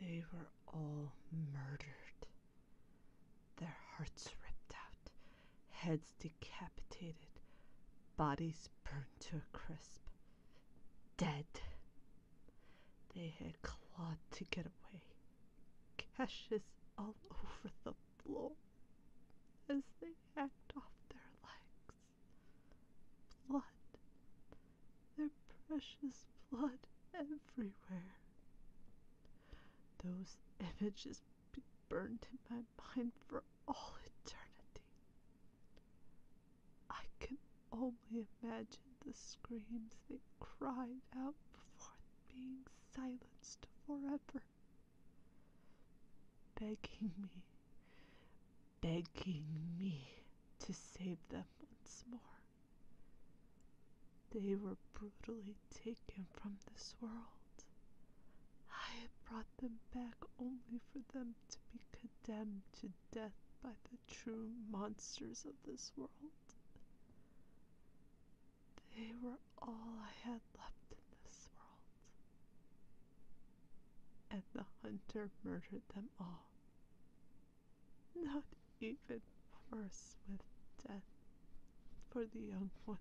They were all murdered, their hearts ripped out, heads decapitated, bodies burned to a crisp. Dead. They had clawed to get away, gashes all over the floor as they hacked off their legs blood, their precious blood everywhere. Those images be burned in my mind for all eternity. I can only imagine the screams they cried out before being silenced forever, begging me, begging me to save them once more. They were brutally taken from this world. I had brought them back only for them to be condemned to death by the true monsters of this world. They were all I had left in this world. And the hunter murdered them all not even worse with death for the young one.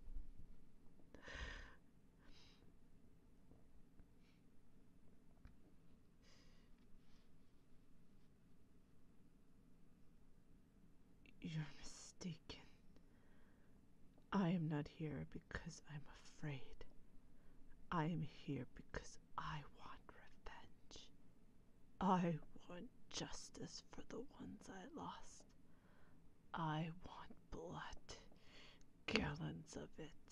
You're mistaken. I am not here because I'm afraid. I am here because I want revenge. I want justice for the ones I lost. I want blood, gallons of it.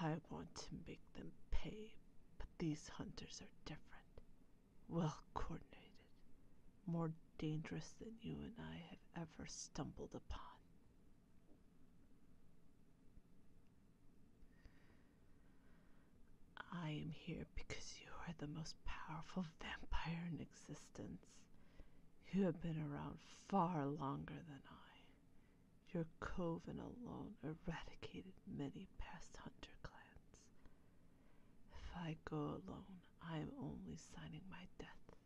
I want to make them pay, but these hunters are different, well coordinated, more dangerous than you and I have ever stumbled upon. I am here because you are the most powerful vampire in existence. You have been around far longer than I. Your coven alone eradicated many past hunter clans. If I go alone, I am only signing my death.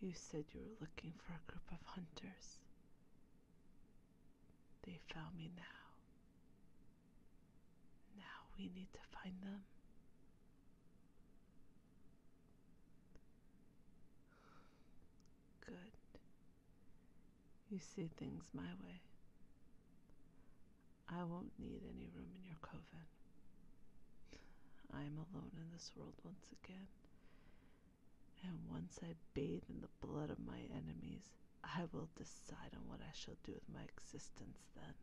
You said you were looking for a group of hunters. They found me now. Now we need to find them. Good. You see things my way. I won't need any room in your coven. I am alone in this world once again. And once I bathe in the blood of my enemies, I will decide on what I shall do with my existence then.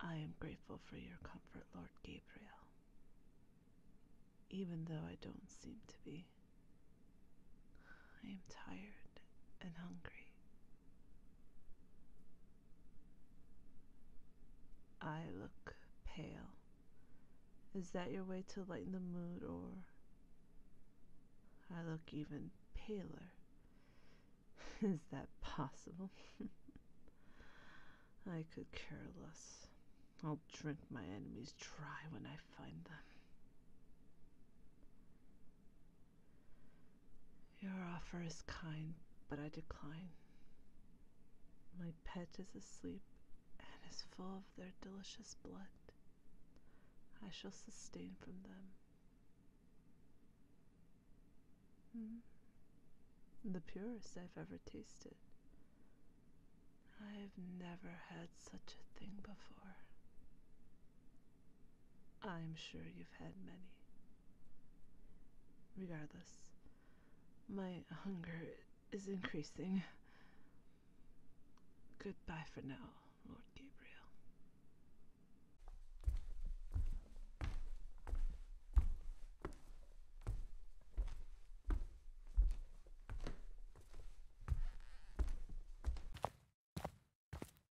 I am grateful for your comfort, Lord Gabriel, even though I don't seem to be. I am tired and hungry I look pale. Is that your way to lighten the mood, or I look even paler? Is that possible? I could care less. I'll drink my enemies dry when I find them. Your offer is kind, but I decline. My pet is asleep and is full of their delicious blood. I shall sustain from them. Hmm. The purest I've ever tasted. I've never had such a thing before. I'm sure you've had many. Regardless, my hunger is increasing. Goodbye for now, Lord Gabriel.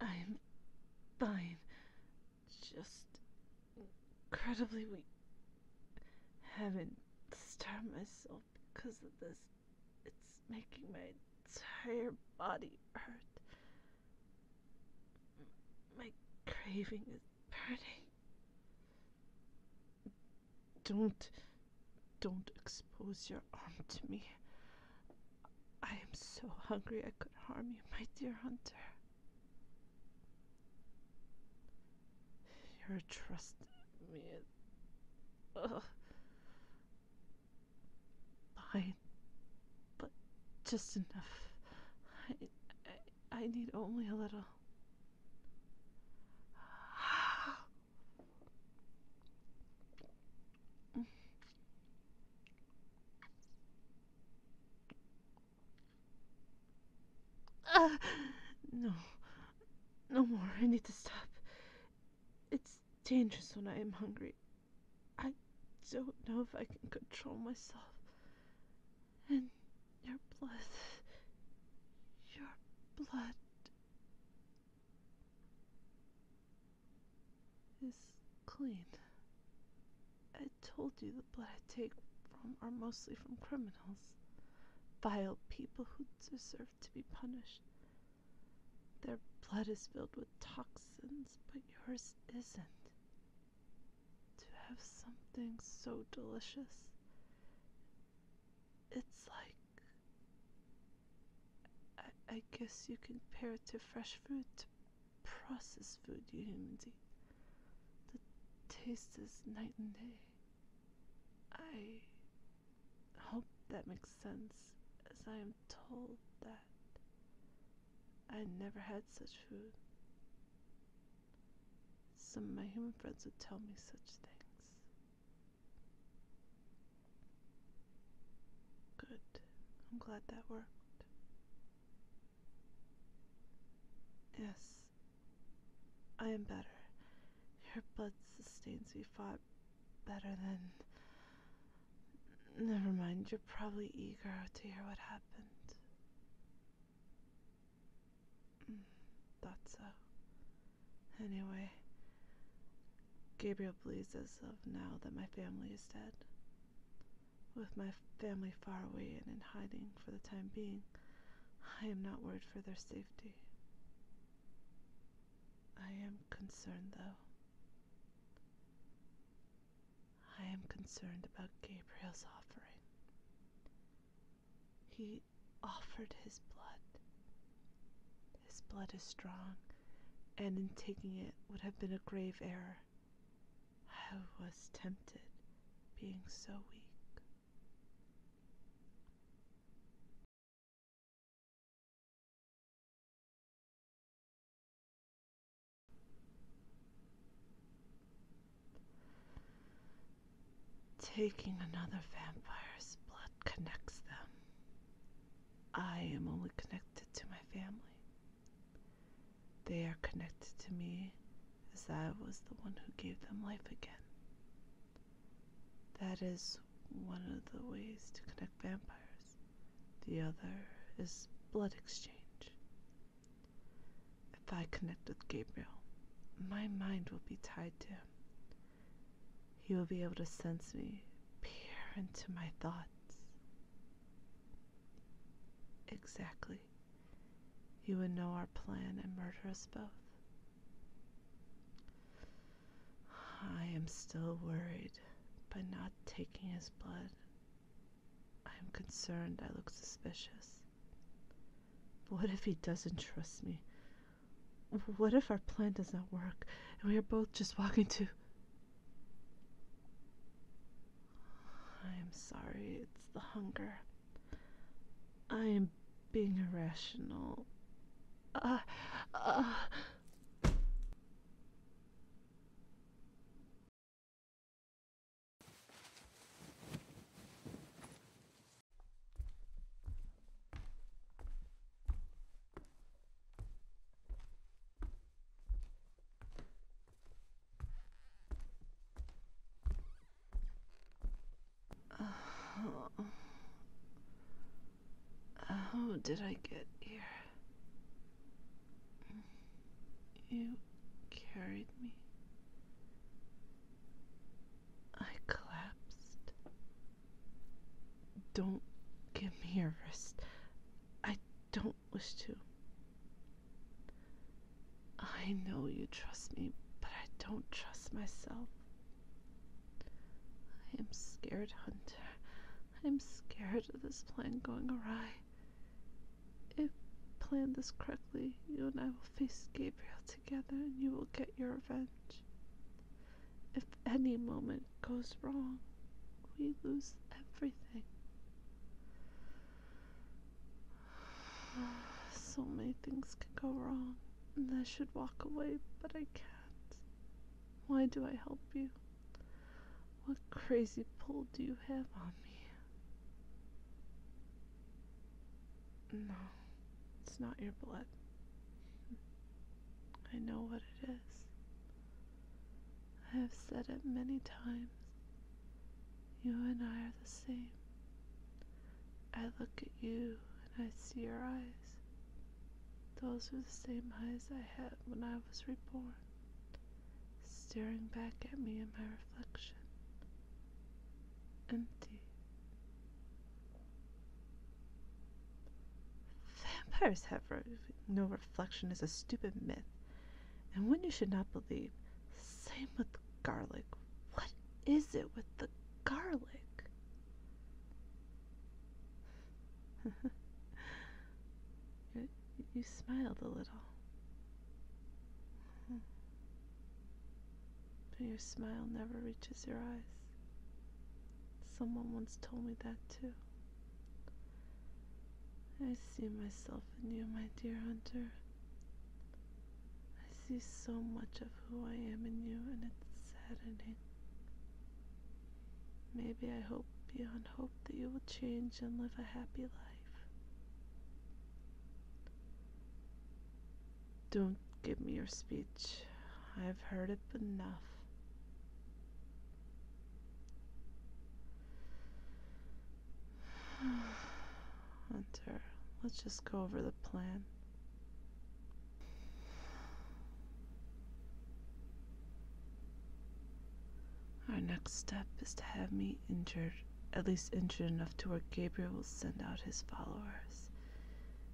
I'm fine. Just incredibly weak. Haven't starved myself because of this. It's making my entire body hurt. My craving is burning. Don't. Don't expose your arm to me. I am so hungry I could harm you, my dear hunter. You're in me is. Uh, But just enough. I, I, I need only a little. no. No more. I need to stop. It's dangerous when I am hungry. I don't know if I can control myself. And your blood. Your blood is clean. I told you the blood I take from are mostly from criminals, vile people who deserve to be punished. Their blood is filled with toxins, but yours isn't. To have something so delicious, it's like I, guess you can compare it to fresh fruit, processed food you humans eat. The taste is night and day. I hope that makes sense, as I am told that I never had such food. Some of my human friends would tell me such things. Good. I'm glad that worked. Yes, I am better. Your blood sustains me far better than. Never mind, you're probably eager to hear what happened. Mm, thought Anyway, Gabriel believes as of now that my family is dead. With my family far away and in hiding for the time being, I am not worried for their safety. I am concerned, though. I am concerned about Gabriel's offering. He offered his blood. His blood is strong, and in taking it would have been a grave error. I was tempted, being so weak. Taking another vampire's blood connects them. I am only connected to my family. They are connected to me as I was the one who gave them life again. That is one of the ways to connect vampires. The other is blood exchange. If I connect with Gabriel, my mind will be tied to him, he will be able to sense me, peer into my thoughts. Exactly. He would know our plan and murder us both. I am still worried by not taking his blood. I am concerned I look suspicious. But what if he doesn't trust me? What if our plan does not work and we are both just walking to. I am sorry, it's the hunger. I am being irrational. Uh, uh. How did I get here? You carried me. I collapsed. Don't give me a wrist. I don't wish to. I know you trust me, but I don't trust myself. I am scared, Hunter. I am scared of this plan going awry. If planned this correctly, you and I will face Gabriel together and you will get your revenge. If any moment goes wrong, we lose everything. So many things can go wrong, and I should walk away, but I can't. Why do I help you? What crazy pull do you have on me? No, it's not your blood. I know what it is. I have said it many times. You and I are the same. I look at you and I see your eyes. Those were the same eyes I had when I was reborn, staring back at me in my reflection. Empty. Vampires have no reflection is a stupid myth, and one you should not believe. Same with garlic. What is it with the garlic? you smiled a little. But your smile never reaches your eyes. Someone once told me that too. I see myself in you, my dear hunter. I see so much of who I am in you, and it's saddening. Maybe I hope beyond hope that you will change and live a happy life. Don't give me your speech. I've heard it enough. Hunter, let's just go over the plan. Our next step is to have me injured, at least injured enough to where Gabriel will send out his followers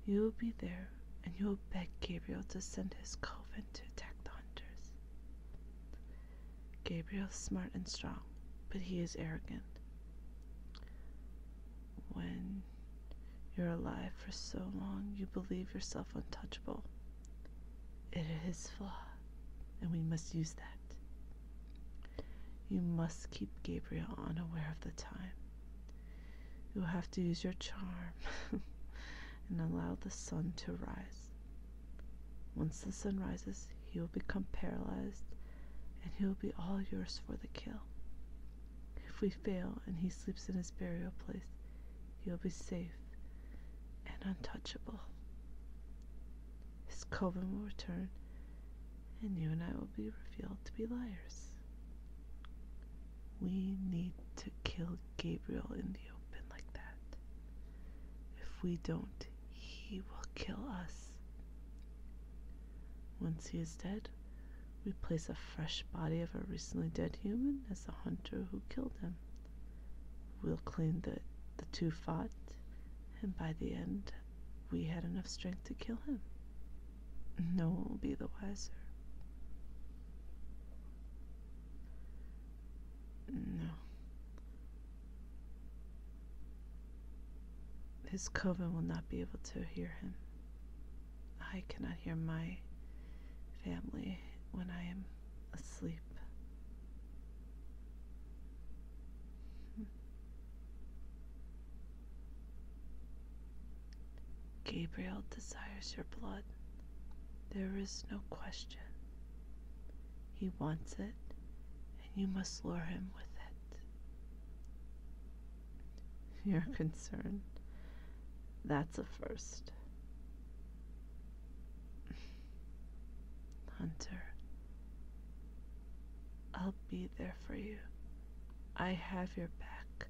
you will be there, and you will beg Gabriel to send his coven to attack the hunters. Gabriel is smart and strong, but he is arrogant. When you're alive for so long, you believe yourself untouchable. It is his flaw, and we must use that. You must keep Gabriel unaware of the time You'll have to use your charm and allow the sun to rise. Once the sun rises, he will become paralyzed and he will be all yours for the kill. If we fail and he sleeps in his burial place, you will be safe and untouchable. His coven will return, and you and I will be revealed to be liars. We need to kill Gabriel in the open like that. If we don't, he will kill us. Once he is dead, we place a fresh body of a recently dead human as the hunter who killed him. We'll claim that the two fought, and by the end, we had enough strength to kill him. No one will be the wiser. No. His coven will not be able to hear him. I cannot hear my family when I am asleep. Gabriel desires your blood. There is no question. He wants it, and you must lure him with it. Your concern. That's a first. Hunter, I'll be there for you. I have your back.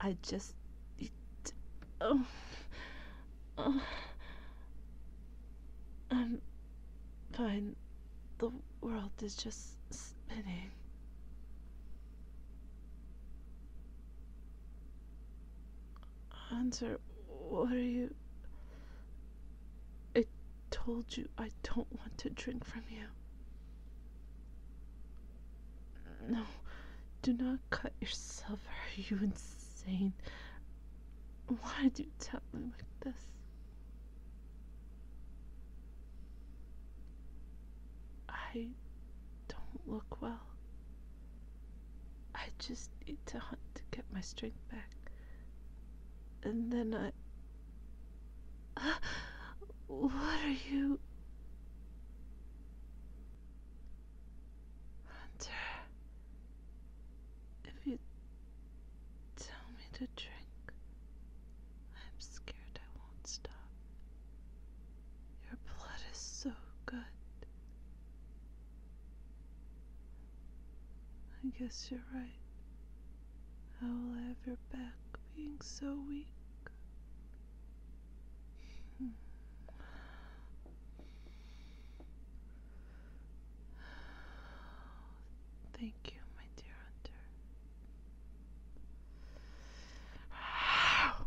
I just. oh, oh, I'm fine. The world is just spinning. Answer. what are you? I told you I don't want to drink from you. No, do not cut yourself. Are you insane? Why do you tell me like this? I don't look well. I just need to hunt to get my strength back. And then I. what are you? Hunter, if you tell me to drink, I'm scared I won't stop. Your blood is so good. I guess you're right. How will I have your back being so weak? Thank you, my dear hunter.